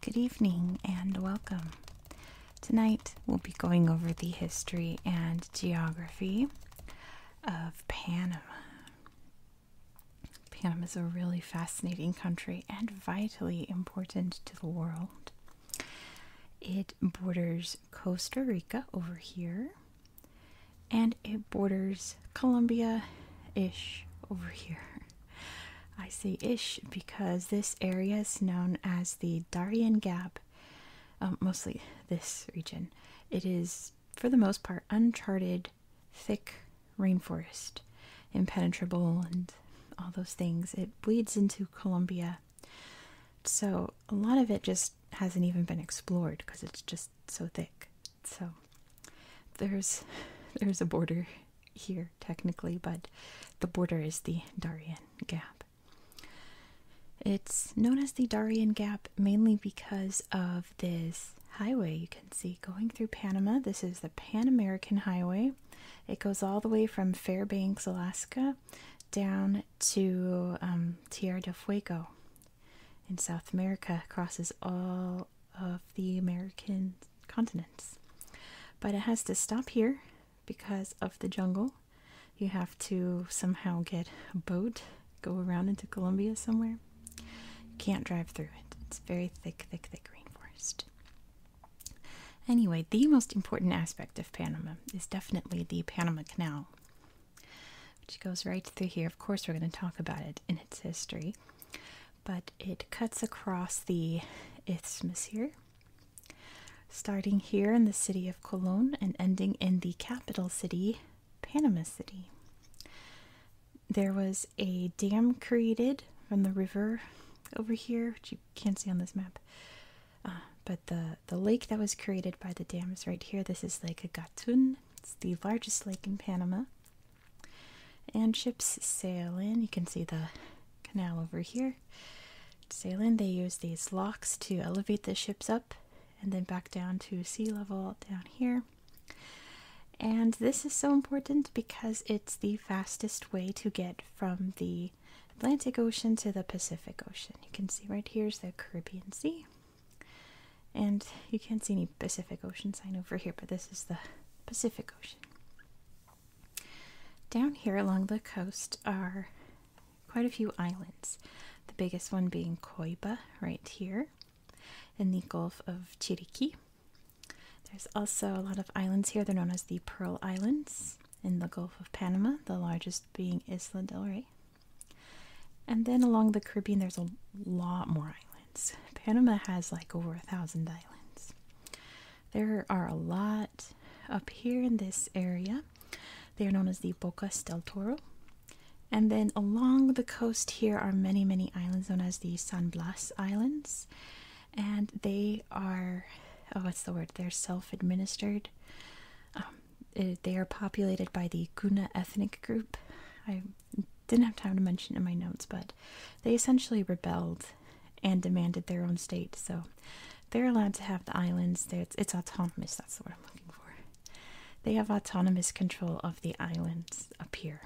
Good evening and welcome. Tonight we'll be going over the history and geography of Panama. Panama is a really fascinating country and vitally important to the world. It borders Costa Rica over here, and it borders Colombia ish over here. I say ish because this area is known as the Darien Gap, um, mostly this region. It is, for the most part, uncharted, thick rainforest, impenetrable, and all those things. It bleeds into Colombia. So, a lot of it just hasn't even been explored because it's just so thick. So there's there's a border here technically, but the border is the Darien Gap. It's known as the Darien Gap mainly because of this highway you can see going through Panama. This is the Pan American Highway. It goes all the way from Fairbanks, Alaska, down to um, Tierra del Fuego in South America, crosses all of the American continents. But it has to stop here because of the jungle. You have to somehow get a boat, go around into Colombia somewhere. You can't drive through it, it's very thick, thick, thick rainforest. Anyway, the most important aspect of Panama is definitely the Panama Canal, which goes right through here. Of course, we're going to talk about it in its history, but it cuts across the isthmus here, starting here in the city of Cologne and ending in the capital city, Panama City. There was a dam created from the river over here, which you can't see on this map, uh, but the the lake that was created by the dams right here. This is Lake Gatun. It's the largest lake in Panama. And ships sail in. You can see the canal over here. Sail in. They use these locks to elevate the ships up and then back down to sea level down here. And this is so important because it's the fastest way to get from the Atlantic Ocean to the Pacific Ocean. You can see right here is the Caribbean Sea. And you can't see any Pacific Ocean sign over here, but this is the Pacific Ocean. Down here along the coast are quite a few islands. The biggest one being Coiba, right here, in the Gulf of Chiriqui. There's also a lot of islands here. They're known as the Pearl Islands in the Gulf of Panama, the largest being Isla del Rey. And then along the Caribbean, there's a lot more islands. Panama has like over a thousand islands. There are a lot up here in this area. They are known as the Bocas del Toro. And then along the coast here are many, many islands known as the San Blas Islands. And they are, oh, what's the word? They're self administered. Um, uh, they are populated by the Guna ethnic group. I didn't have time to mention in my notes, but they essentially rebelled and demanded their own state. So they're allowed to have the islands. it's, it's autonomous. That's the word I'm looking for. They have autonomous control of the islands up here.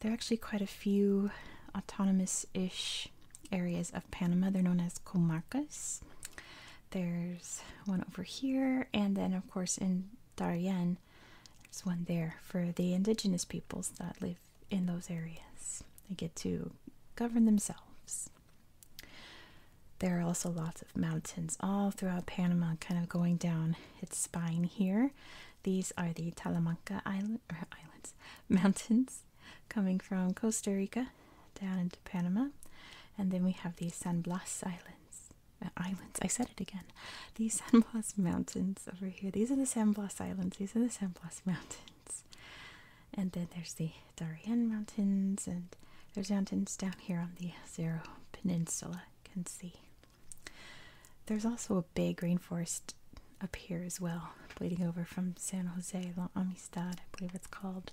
There are actually quite a few autonomous ish areas of Panama. They're known as comarcas. There's one over here, and then, of course, in Darien, there's one there for the indigenous peoples that live in those areas. They get to govern themselves. There are also lots of mountains all throughout Panama, kind of going down its spine here. These are the Talamanca Island, or Islands, mountains coming from Costa Rica down into Panama. And then we have the San Blas Islands. Uh, islands, I said it again. The San Blas Mountains over here. These are the San Blas Islands. These are the San Blas Mountains. And then there's the Darien Mountains, and there's mountains down here on the Zero Peninsula, you can see. There's also a big rainforest up here as well, bleeding over from San Jose, La Amistad, I believe it's called.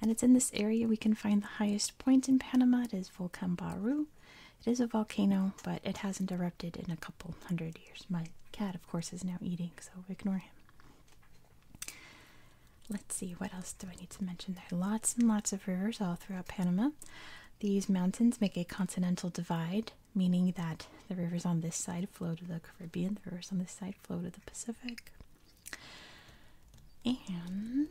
And it's in this area we can find the highest point in Panama. It is Volcan Baru. It is a volcano, but it hasn't erupted in a couple hundred years. My cat, of course, is now eating, so ignore him. Let's see, what else do I need to mention? There are lots and lots of rivers all throughout Panama. These mountains make a continental divide, meaning that the rivers on this side flow to the Caribbean, the rivers on this side flow to the Pacific. And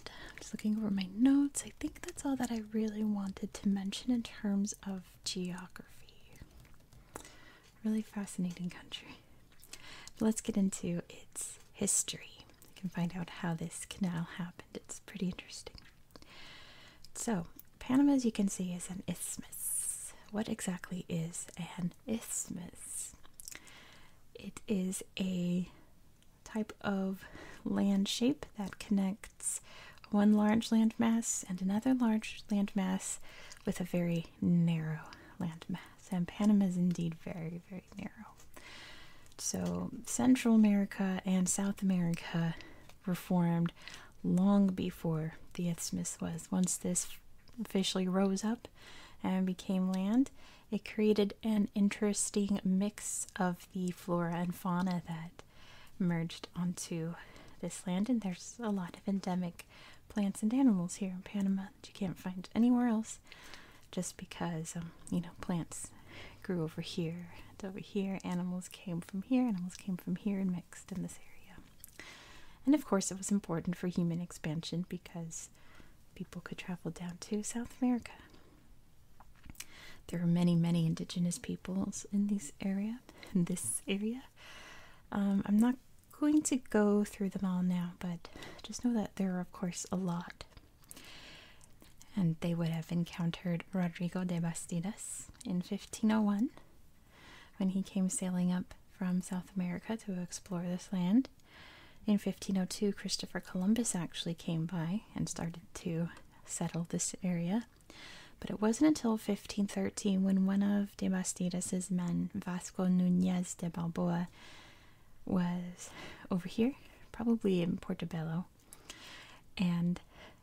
I'm just looking over my notes. I think that's all that I really wanted to mention in terms of geography. Really fascinating country. let's get into its history. You can find out how this canal happened. It's pretty interesting. So, Panama, as you can see, is an isthmus. What exactly is an isthmus. It is a type of land shape that connects one large landmass and another large landmass with a very narrow landmass. And Panama is indeed very, very narrow. So Central America and South America were formed long before the isthmus was. Once this officially rose up, and became land, it created an interesting mix of the flora and fauna that merged onto this land. And there's a lot of endemic plants and animals here in Panama that you can't find anywhere else just because, um, you know, plants grew over here and over here. Animals came from here, animals came from here and mixed in this area. And of course, it was important for human expansion because people could travel down to South America. There are many, many indigenous peoples in this area. In this area, um, I'm not going to go through them all now, but just know that there are, of course, a lot. And they would have encountered Rodrigo de Bastidas in 1501, when he came sailing up from South America to explore this land. In 1502, Christopher Columbus actually came by and started to settle this area. But it wasn't until 1513 when one of de Bastidas' men, Vasco Nunez de Balboa, was over here, probably in Portobello, and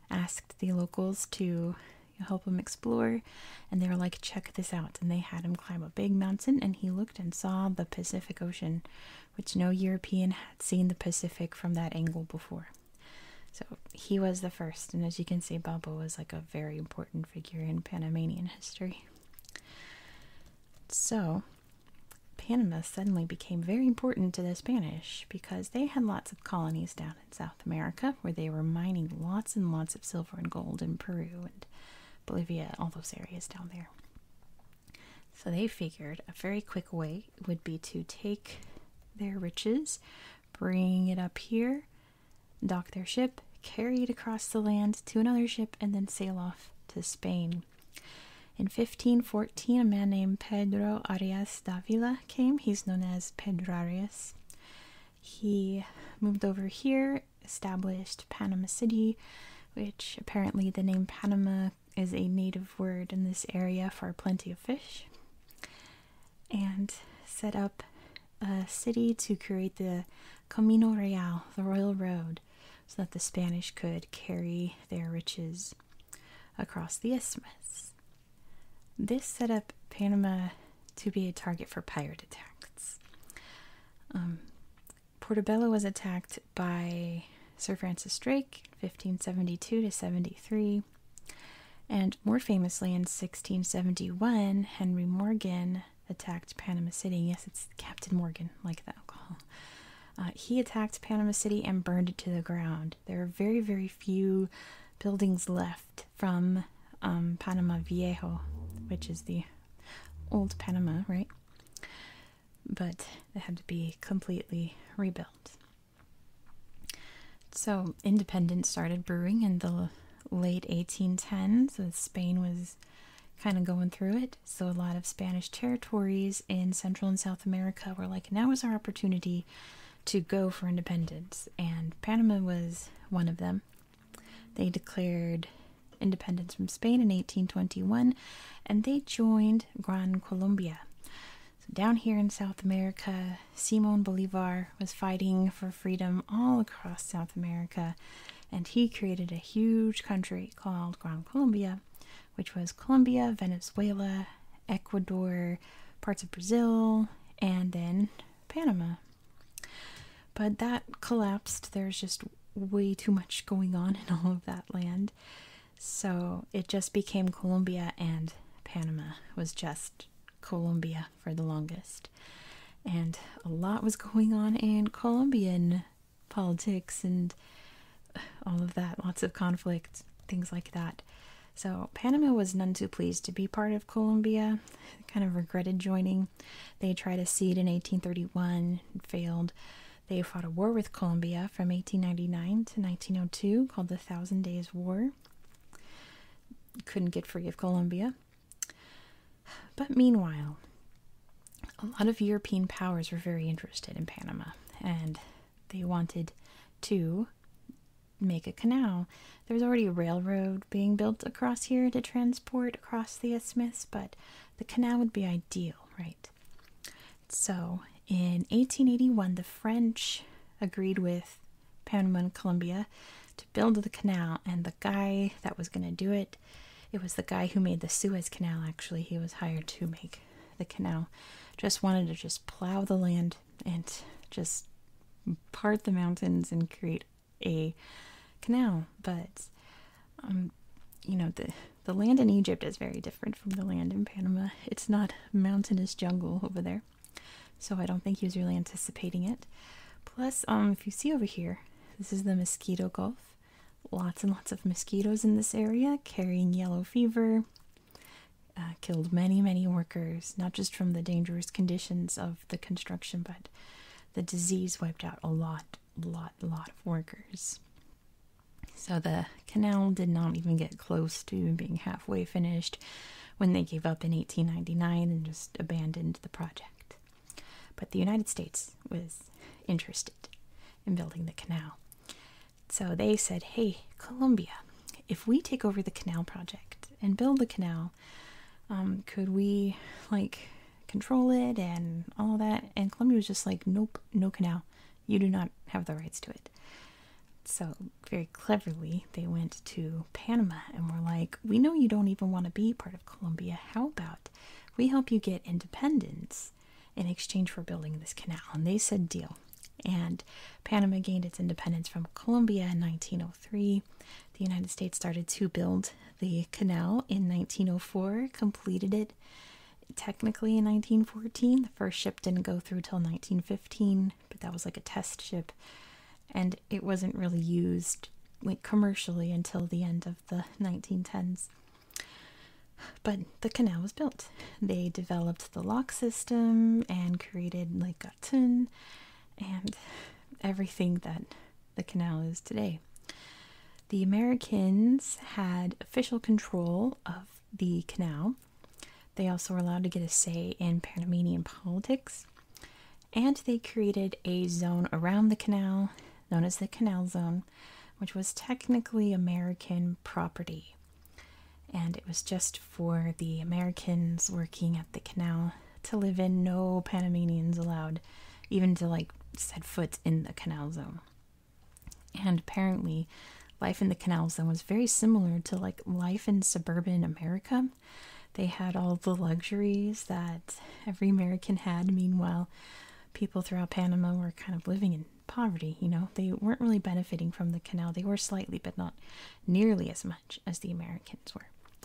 asked the locals to you help him explore and they were like check this out and they had him climb a big mountain and he looked and saw the pacific ocean which no european had seen the pacific from that angle before so he was the first and as you can see baba was like a very important figure in panamanian history so panama suddenly became very important to the spanish because they had lots of colonies down in south america where they were mining lots and lots of silver and gold in peru Bolivia, all those areas down there. So they figured a very quick way would be to take their riches, bring it up here, dock their ship, carry it across the land to another ship, and then sail off to Spain. In 1514, a man named Pedro Arias Davila came. He's known as Pedrarias. He moved over here established Panama City, which apparently the name Panama is a native word in this area for plenty of fish, and set up a city to create the Camino Real, the Royal Road, so that the Spanish could carry their riches across the isthmus. This set up Panama to be a target for pirate attacks. Um, Portobello was attacked by Sir Francis Drake 1572 to 73, and more famously in 1671, Henry Morgan attacked Panama City. Yes, it's Captain Morgan, like that alcohol. Uh, he attacked Panama City and burned it to the ground. There are very, very few buildings left from um, Panama Viejo, which is the old Panama, right? But it had to be completely rebuilt. So, independence started brewing in the late 1810s. So Spain was kind of going through it. So, a lot of Spanish territories in Central and South America were like, now is our opportunity to go for independence. And Panama was one of them. They declared independence from Spain in 1821 and they joined Gran Colombia. So down here in South America, Simon Bolivar was fighting for freedom all across South America and he created a huge country called Gran Colombia, which was Colombia, Venezuela, Ecuador, parts of Brazil, and then Panama. But that collapsed. There's just way too much going on in all of that land. So it just became Colombia and Panama was just Colombia for the longest. And a lot was going on in Colombian politics and all of that, lots of conflict, things like that. So Panama was none too pleased to be part of Colombia kind of regretted joining. They tried a seat in 1831 failed. They fought a war with Colombia from 1899 to 1902 called the Thousand Days War. Couldn't get free of Colombia. But meanwhile, a lot of European powers were very interested in Panama and they wanted to make a canal. There's already a railroad being built across here to transport across the isthmus, but the canal would be ideal, right? So in 1881, the French agreed with Panama and Colombia to build the canal, and the guy that was going to do it, it was the guy who made the Suez Canal, actually. He was hired to make the canal. Just wanted to just plow the land and just part the mountains and create a canal, but um, you know the the land in Egypt is very different from the land in Panama. It's not mountainous jungle over there, so I don't think he was really anticipating it. Plus, um, if you see over here, this is the mosquito Gulf. Lots and lots of mosquitoes in this area carrying yellow fever. Uh, killed many, many workers, not just from the dangerous conditions of the construction, but the disease wiped out a lot, lot, lot of workers. So the canal did not even get close to being halfway finished when they gave up in 1899 and just abandoned the project. But the United States was interested in building the canal. So they said, hey, Colombia, if we take over the canal project and build the canal, um, could we like control it and all of that? And Colombia was just like, nope, no canal. You do not have the rights to it. So, very cleverly, they went to Panama and were like, We know you don't even want to be part of Colombia. How about we help you get independence in exchange for building this canal? And they said, Deal. And Panama gained its independence from Colombia in 1903. The United States started to build the canal in 1904, completed it technically in 1914. The first ship didn't go through till 1915, but that was like a test ship, and it wasn't really used like commercially until the end of the 1910s. But the canal was built. They developed the lock system and created Lake Gatun and everything that the canal is today. The Americans had official control of the canal. They also were allowed to get a say in Panamanian politics, and they created a zone around the canal known as the Canal Zone, which was technically American property. And it was just for the Americans working at the canal to live in, no Panamanians allowed, even to like set foot in the canal zone. And apparently, life in the canal zone was very similar to like life in suburban America. They had all the luxuries that every American had. Meanwhile, people throughout Panama were kind of living in poverty, you know. They weren't really benefiting from the canal. They were slightly, but not nearly as much as the Americans were.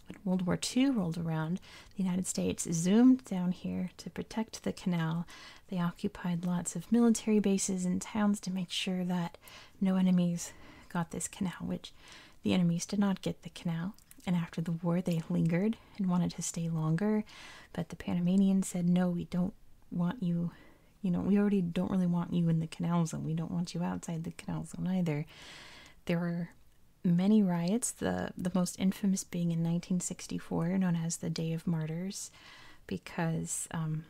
When World War II rolled around, the United States zoomed down here to protect the canal. They occupied lots of military bases and towns to make sure that no enemies got this canal, which the enemies did not get the canal. And after the war, they lingered and wanted to stay longer, but the Panamanians said, No, we don't want you. You know, we already don't really want you in the canal zone. We don't want you outside the canal zone either. There were many riots, the, the most infamous being in 1964, known as the Day of Martyrs, because um,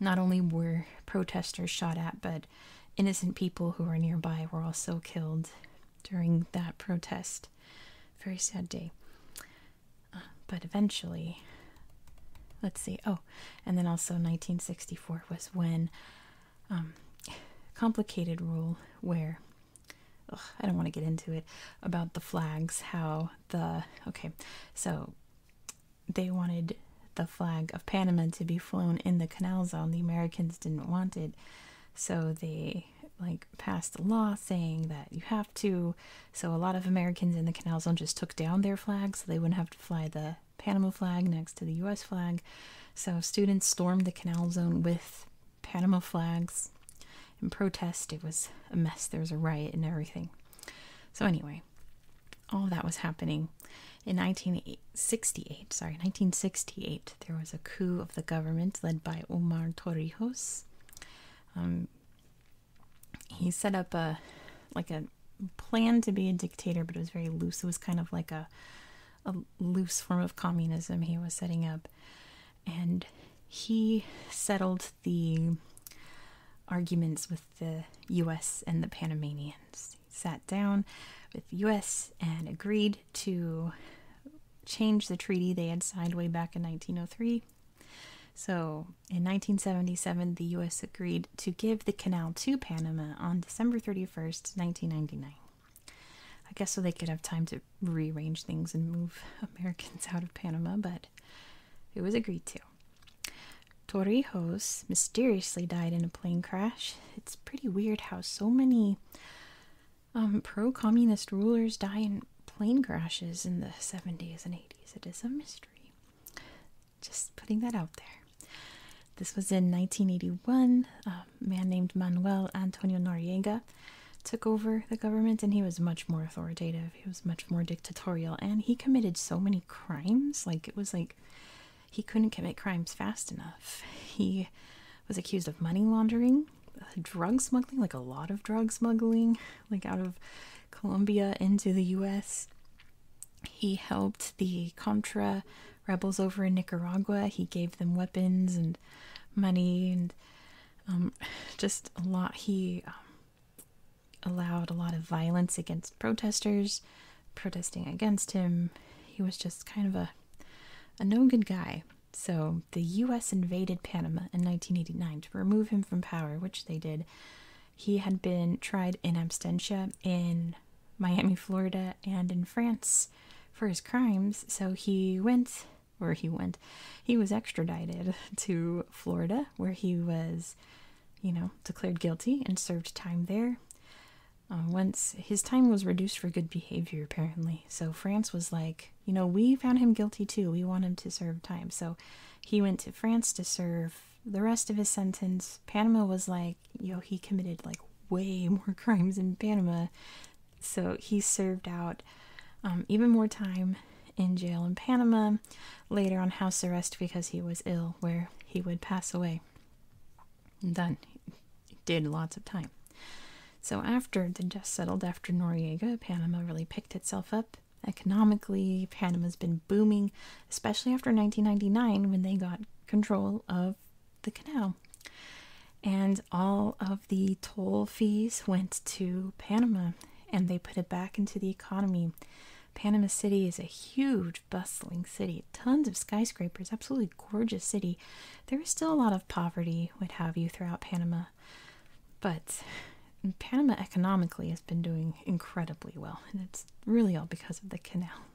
not only were protesters shot at, but innocent people who were nearby were also killed during that protest. Very sad day. Uh, but eventually, let's see, oh, and then also 1964 was when um, complicated rule where I don't want to get into it about the flags. How the okay, so they wanted the flag of Panama to be flown in the canal zone. The Americans didn't want it, so they like passed a law saying that you have to. So a lot of Americans in the canal zone just took down their flags so they wouldn't have to fly the Panama flag next to the US flag. So students stormed the canal zone with Panama flags in protest. It was a mess. There was a riot and everything. So anyway, all that was happening in 1968. Sorry, 1968. There was a coup of the government led by Omar Torrijos. Um, he set up a like a planned to be a dictator, but it was very loose. It was kind of like a a loose form of communism he was setting up, and he settled the arguments with the U.S. and the Panamanians. He sat down with the U.S. and agreed to change the treaty they had signed way back in 1903. So in 1977, the U.S. agreed to give the canal to Panama on December 31st, 1999. I guess so they could have time to rearrange things and move Americans out of Panama, but it was agreed to. Torrijos mysteriously died in a plane crash. It's pretty weird how so many um, pro communist rulers die in plane crashes in the 70s and 80s. It is a mystery. Just putting that out there. This was in 1981. A man named Manuel Antonio Noriega took over the government, and he was much more authoritative. He was much more dictatorial, and he committed so many crimes. Like, it was like he couldn't commit crimes fast enough. He was accused of money laundering, uh, drug smuggling, like a lot of drug smuggling, like out of Colombia into the US. He helped the Contra rebels over in Nicaragua. He gave them weapons and money and um, just a lot. He um, allowed a lot of violence against protesters protesting against him. He was just kind of a a no good guy. So the U.S. invaded Panama in 1989 to remove him from power, which they did. He had been tried in absentia in Miami, Florida, and in France for his crimes, so he went, where he went, he was extradited to Florida, where he was, you know, declared guilty and served time there. Uh, once his time was reduced for good behavior, apparently, so France was like, you know, we found him guilty too. We want him to serve time. So he went to France to serve the rest of his sentence, Panama was like, yo, he committed like way more crimes in Panama. So he served out um, even more time in jail in Panama, later on house arrest because he was ill, where he would pass away. done. did lots of time. So after the dust settled after Noriega, Panama really picked itself up. Economically, Panama's been booming, especially after 1999 when they got control of the canal. And all of the toll fees went to Panama and they put it back into the economy. Panama City is a huge, bustling city, tons of skyscrapers, absolutely gorgeous city. There is still a lot of poverty, what have you, throughout Panama. But Panama economically has been doing incredibly well, and it's really all because of the canal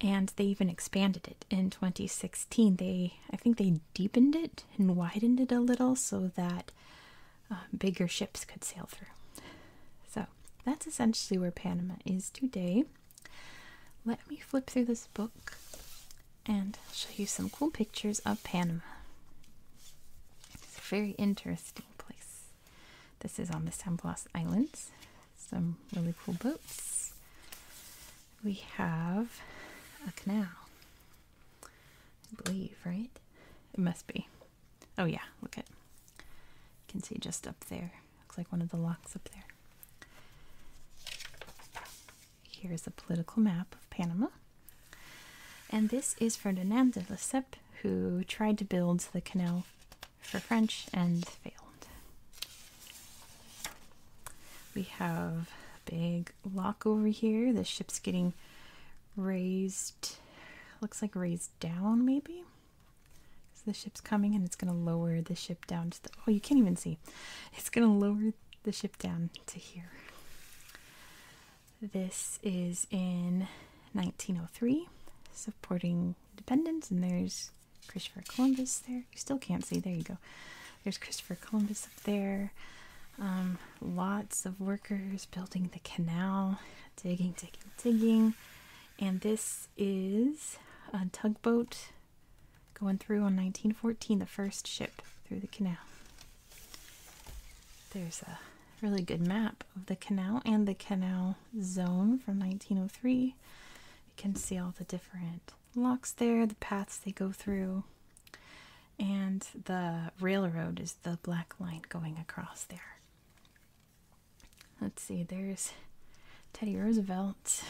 and they even expanded it in 2016 they i think they deepened it and widened it a little so that uh, bigger ships could sail through so that's essentially where panama is today let me flip through this book and show you some cool pictures of panama it's a very interesting place this is on the San Blas Islands. Some really cool boats. We have a canal, I believe, right? It must be. Oh yeah, look at. You can see just up there. Looks like one of the locks up there. Here's a political map of Panama. And this is Ferdinand de Lesseps, who tried to build the canal for French and failed. We have a big lock over here. The ship's getting raised, looks like raised down maybe. So the ship's coming and it's going to lower the ship down to the, oh you can't even see. It's going to lower the ship down to here. This is in 1903, supporting Independence, and there's Christopher Columbus there. You still can't see. There you go. There's Christopher Columbus up there. Um, lots of workers building the canal, digging, digging, digging. And this is a tugboat going through on 1914, the first ship through the canal. There's a really good map of the canal and the canal zone from 1903. You can see all the different locks there, the paths they go through, and the railroad is the black line going across there. Let's see, there's Teddy Roosevelt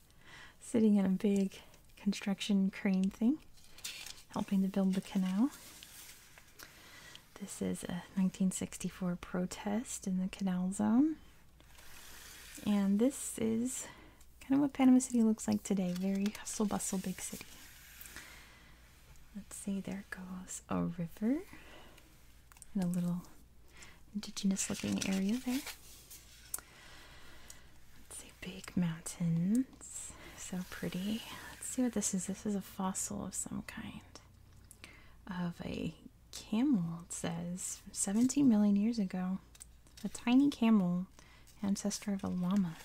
sitting in a big construction crane thing, helping to build the canal. This is a 1964 protest in the Canal Zone. And this is kind of what Panama City looks like today. Very hustle bustle big city. Let's see, there goes a river and a little indigenous looking area there. Let's see, big mountains. So pretty. Let's see what this is. This is a fossil of some kind of a camel, it says 17 million years ago. A tiny camel, ancestor of a llama.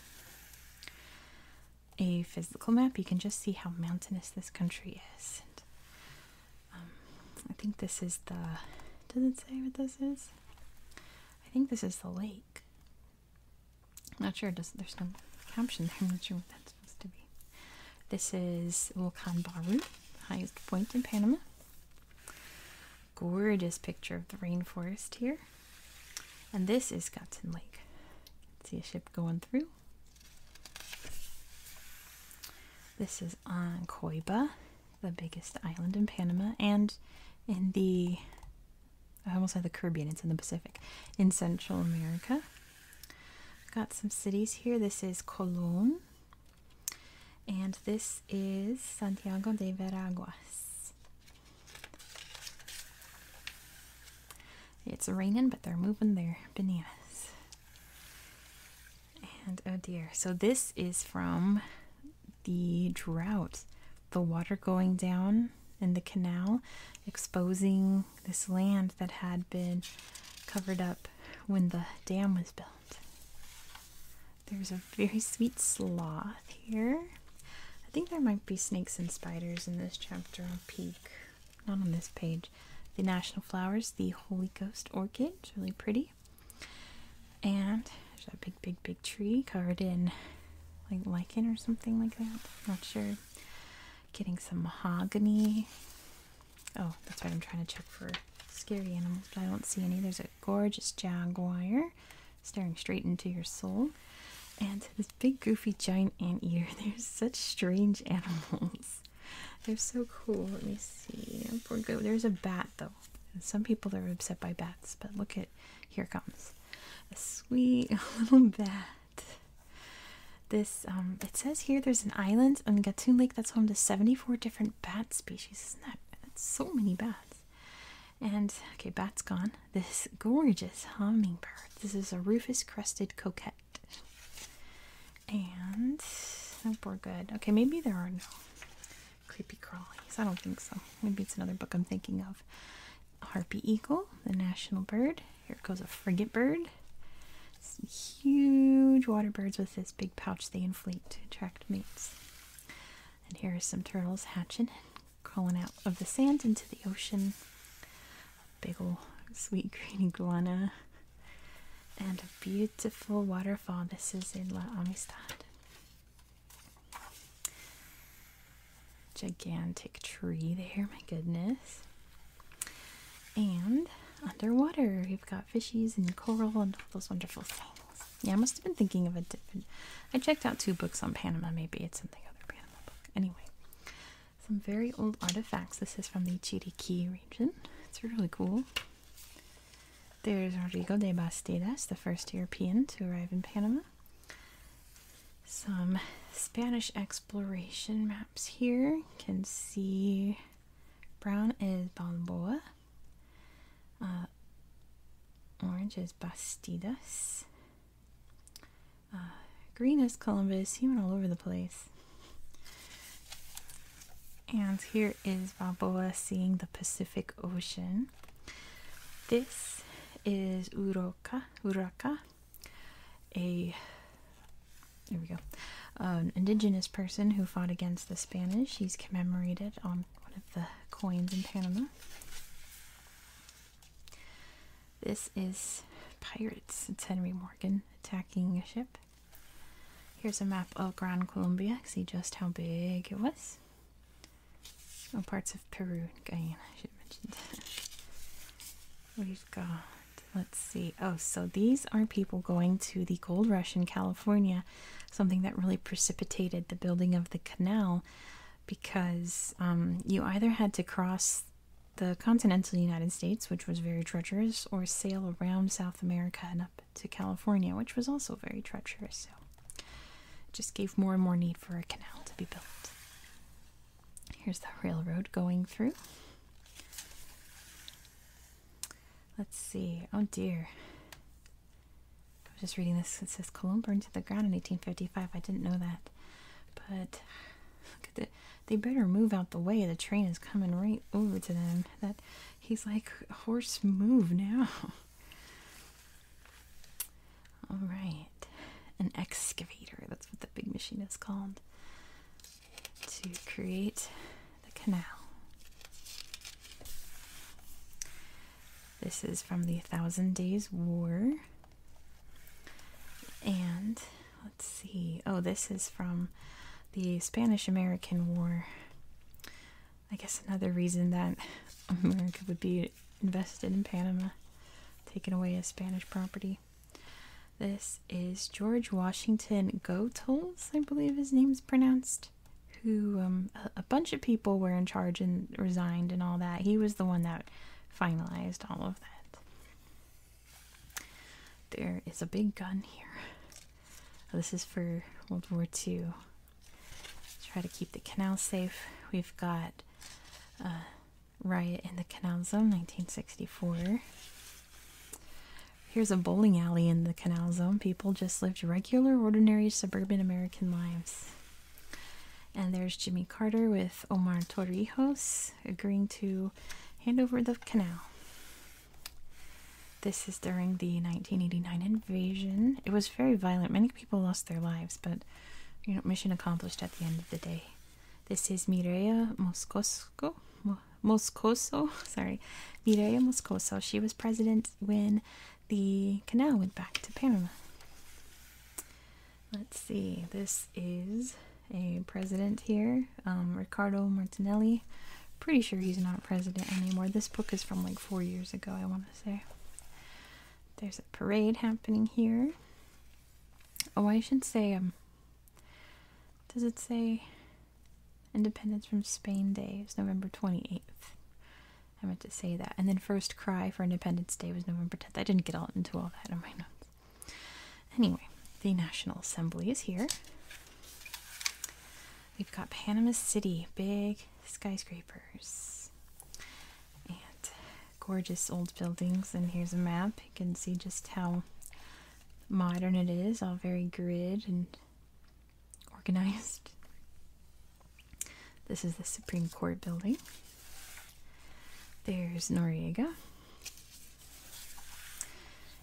A physical map, you can just see how mountainous this country is. Um, I think this is the. Does it say what this is? I think this is the lake. I'm not sure. there's no caption there? I'm not sure what that supposed to be. This is Volcan Baru, highest point in Panama. Gorgeous picture of the rainforest here. And this is Gatson Lake. see a ship going through. This is on Coiba, the biggest island in Panama, and in the I almost said the Caribbean, it's in the Pacific, in Central America. Got some cities here. This is Colon, and this is Santiago de Veraguas. It's raining, but they're moving their bananas. And oh dear, so this is from the drought, the water going down in the canal, exposing this land that had been covered up when the dam was built. There's a very sweet sloth here. I think there might be snakes and spiders in this chapter on Peak. Not on this page. The national flowers, the Holy Ghost orchid. It's really pretty. And there's a big, big, big tree covered in like lichen or something like that. Not sure. Getting some mahogany. Oh, that's right. I'm trying to check for scary animals, I don't see any. There's a gorgeous jaguar staring straight into your soul. And this big goofy giant ant anteater. There's such strange animals. They're so cool. Let me see. Poor go. There's a bat though. some people are upset by bats, but look at here comes a sweet little bat. This, um, it says here there's an island on Gatun Lake that's home to 74 different bat species. That's so many bats. And, okay, bats gone. This gorgeous hummingbird. This is a Rufus crested coquette. And, hope oh, we're good. Okay, maybe there are no creepy crawlies. I don't think so. Maybe it's another book I'm thinking of. Harpy eagle, the national bird. Here goes a frigate bird. Some huge water birds with this big pouch they inflate to attract mates. And here are some turtles hatching and crawling out of the sand into the ocean. A big old sweet green iguana. And a beautiful waterfall. This is in La Amistad. Gigantic tree there, my goodness. And underwater, we've got fishies and coral and all those wonderful things. Yeah, I must have been thinking of a different. I checked out two books on Panama. Maybe it's something other Panama book. Anyway, some very old artifacts. This is from the Chiriquí region. It's really cool. There's Rodrigo de Bastidas, the first European to arrive in Panama some Spanish exploration maps here. You can see brown is Balboa, uh, orange is Bastidas, uh, green is Columbus. He went all over the place. And here is Balboa seeing the Pacific Ocean. This is Uroca, Uroca a there we go an indigenous person who fought against the Spanish. He's commemorated on one of the coins in Panama. This is pirates. It's Henry Morgan attacking a ship. Here's a map of Gran Colombia. See just how big it was. Oh, parts of Peru, Guyana. I should mention that. We've got, let's see. Oh, so these are people going to the gold rush in California, something that really precipitated the building of the canal because um, you either had to cross the continental United States, which was very treacherous, or sail around South America and up to California, which was also very treacherous. So, just gave more and more need for a canal to be built. Here's the railroad going through. Let's see. Oh dear. I am just reading this. It says Cologne burned to the ground in 1855. I didn't know that. But look at the. They better move out the way. The train is coming right over to them. That he's like horse move now. All right. An excavator, that's what the big machine is called, to create the canal. This is from the Thousand Days War. And let's see. Oh, this is from the Spanish American War. I guess another reason that America would be invested in Panama, taking away as Spanish property. This is George Washington Goethals, I believe his name's pronounced, who um, a, bunch of people were in charge and resigned and all that. He was the one that finalized all of that. There is a big gun here. Oh, this is for World War II. try to keep the canal safe. We've got uh, riot in the Canal Zone, 1964. Here's a bowling alley in the Canal Zone. People just lived regular, ordinary, suburban American lives. And there's Jimmy Carter with Omar Torrijos agreeing to hand over the canal. This is during the 1989 invasion. It was very violent. Many people lost their lives, but you know, mission accomplished at the end of the day. This is Mireia Moscoso. Moscoso, sorry, Mireia Moscoso. She was president when the canal went back to Panama. Let's see, this is a president here, um, Ricardo Martinelli. Pretty sure he's not president anymore. This book is from like four years ago, I want to say. There's a parade happening here. Oh, I should say, I'm. Um, does it say Independence from Spain Day is November 28th? I meant to say that. And then First Cry for Independence Day was November 10th. I didn't get all into all that in my notes. Anyway, the National Assembly is here. We've got Panama City, big skyscrapers. And gorgeous old buildings and here's a map you can see just how modern it is all very grid and organized this is the supreme court building there's noriega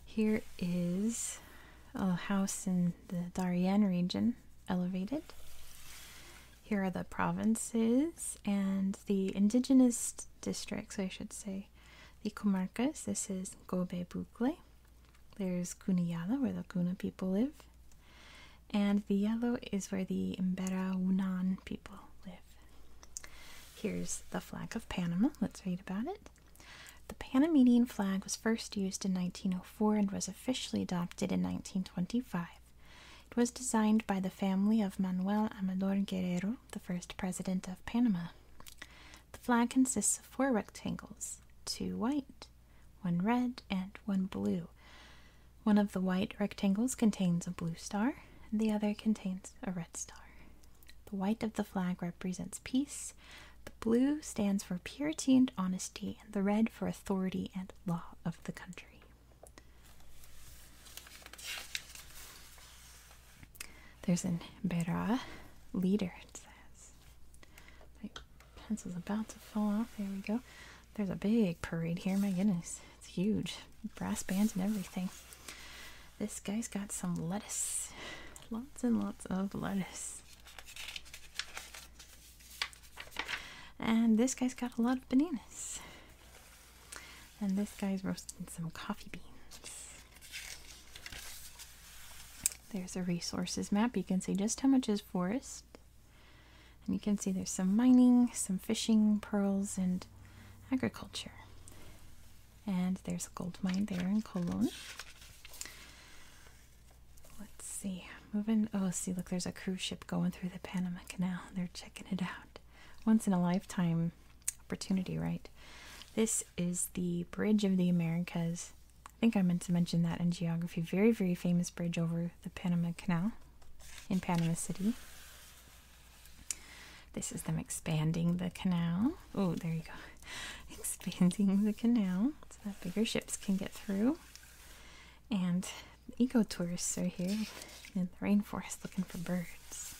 here is a house in the darien region elevated here are the provinces and the indigenous districts, I should say, the comarcas, this is Gobe Bukle. There's Kuniyala, where the Kuna people live. And the yellow is where the Embera Unan people live. Here's the flag of Panama. Let's read about it. The Panamanian flag was first used in 1904 and was officially adopted in 1925. It was designed by the family of Manuel Amador Guerrero, the first president of Panama. The flag consists of four rectangles two white, one red, and one blue. One of the white rectangles contains a blue star, and the other contains a red star. The white of the flag represents peace, the blue stands for purity and honesty, and the red for authority and law of the country. There's an Bera leader, it says. My pencil's about to fall off. There we go. There's a big parade here. My goodness, it's huge. Brass bands and everything. This guy's got some lettuce. Lots and lots of lettuce. And this guy's got a lot of bananas. And this guy's roasting some coffee beans. There's a resources map. You can see just how much is forest. And you can see there's some mining, some fishing, pearls, and agriculture. And there's a gold mine there in Cologne. Let's see. Moving. Oh, see, look, there's a cruise ship going through the Panama Canal. They're checking it out once in a lifetime opportunity, right? This is the Bridge of the Americas. I think I meant to mention that in geography. Very, very famous bridge over the Panama Canal in Panama City. This is them expanding the canal. Oh, there you go. expanding the canal so that bigger ships can get through. And ecotourists are here in the rainforest looking for birds.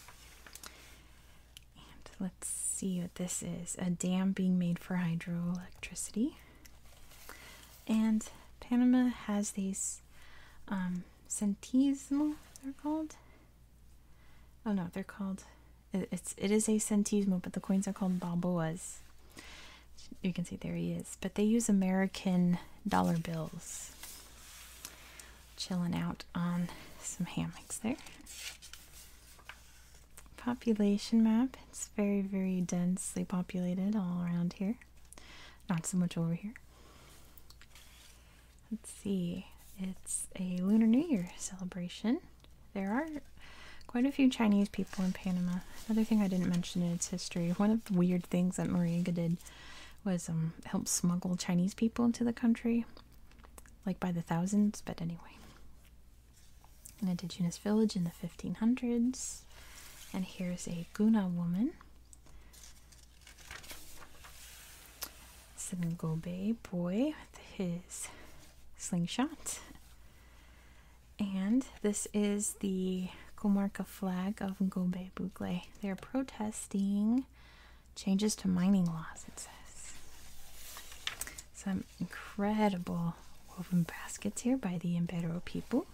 And let's see what this is a dam being made for hydroelectricity. And Panama has these um, centesimal, they're called. Oh no, they're called. it's it is a centesimo, but the coins are called balboas. You can see there he is. But they use American dollar bills chilling out on some hammocks there. Population map. It's very, very densely populated all around here. Not so much over here. Let's see. It's a Lunar New Year celebration. There are quite a few Chinese people in Panama. Another thing I didn't mention in its history, one of the weird things that Moringa did was um, help smuggle Chinese people into the country, like by the thousands. But anyway, an indigenous village in the 1500s, and here's a Guna woman. Sengobe boy with his slingshot. And this is the Comarca flag of Gobé Bugle. They're protesting changes to mining laws, it says. Some incredible woven baskets here by the Imbero people.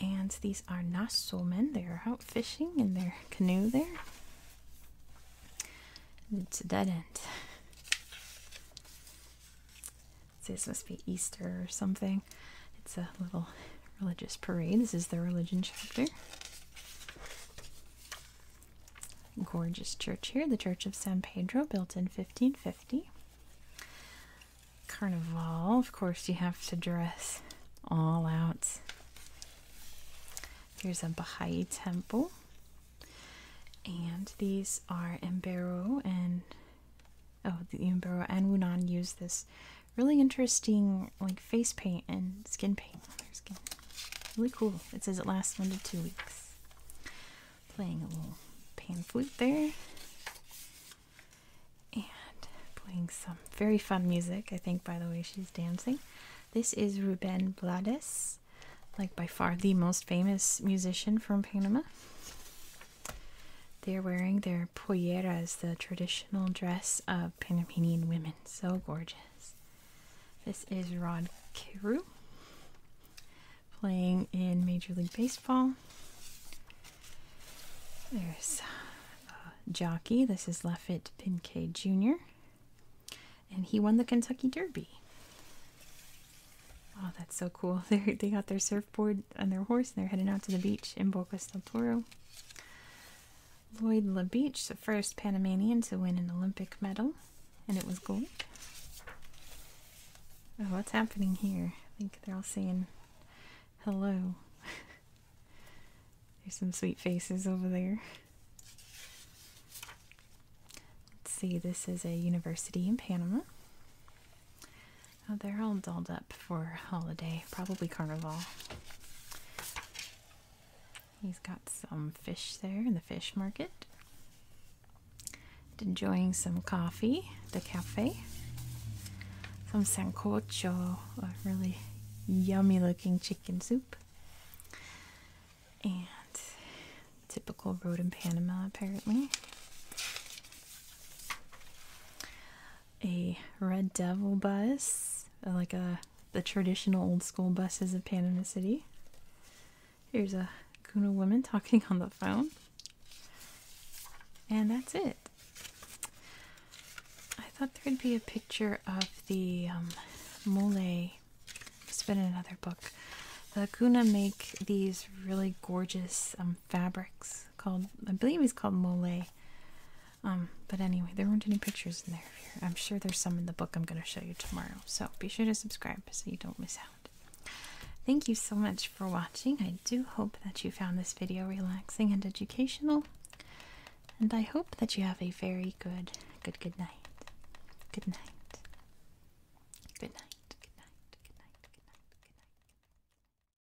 And these are Nassau men. They are out fishing in their canoe there. It's a dead end. This must be Easter or something. It's a little religious parade. This is the religion chapter. Gorgeous church here, the Church of San Pedro, built in 1550. Carnival, of course, you have to dress all out. Here's a Baha'i temple. And these are Embero and oh the Embero and Wunan use this really interesting like face paint and skin paint Really cool. It says it lasts one to two weeks. Playing a little pan flute there. And playing some very fun music, I think, by the way she's dancing. This is Ruben Blades, like by far the most famous musician from Panama. They're wearing their wear polleras, the traditional dress of Panamanian women. So gorgeous. This is Rod Carew playing in Major League Baseball. There's a uh, jockey. This is Laffitte Pinkay Jr. And he won the Kentucky Derby. Oh, that's so cool. they got their surf surfboard on their horse and they're heading out to the beach in Boca del Toro. Lloyd LaBeach, the first Panamanian to win an Olympic medal, and it was gold. Oh, what's happening here? I think they're all saying hello. There's some sweet faces over there. Let's see, this is a university in Panama. Oh, they're all dolled up for holiday, probably carnival. He's got some fish there in the fish market. Enjoying some coffee, the cafe. Some sancocho, a really yummy looking chicken soup. And typical road in Panama, apparently a Red Devil bus, like a the traditional old school buses of Panama City. Here's a Guna woman talking on the phone. And that's it. I thought there'd be a picture of the um, mole. It's been in another book. The Guna make these really gorgeous um, fabrics called, I believe he's called Mole. Um, but anyway, there weren't any pictures in there. I'm sure there's some in the book I'm going to show you tomorrow. So be sure to subscribe so you don't miss out. Thank you so much for watching. I do hope that you found this video relaxing and educational. And I hope that you have a very good, good, good night. Good night. Good night. Good night. Good night. Good night. Good night.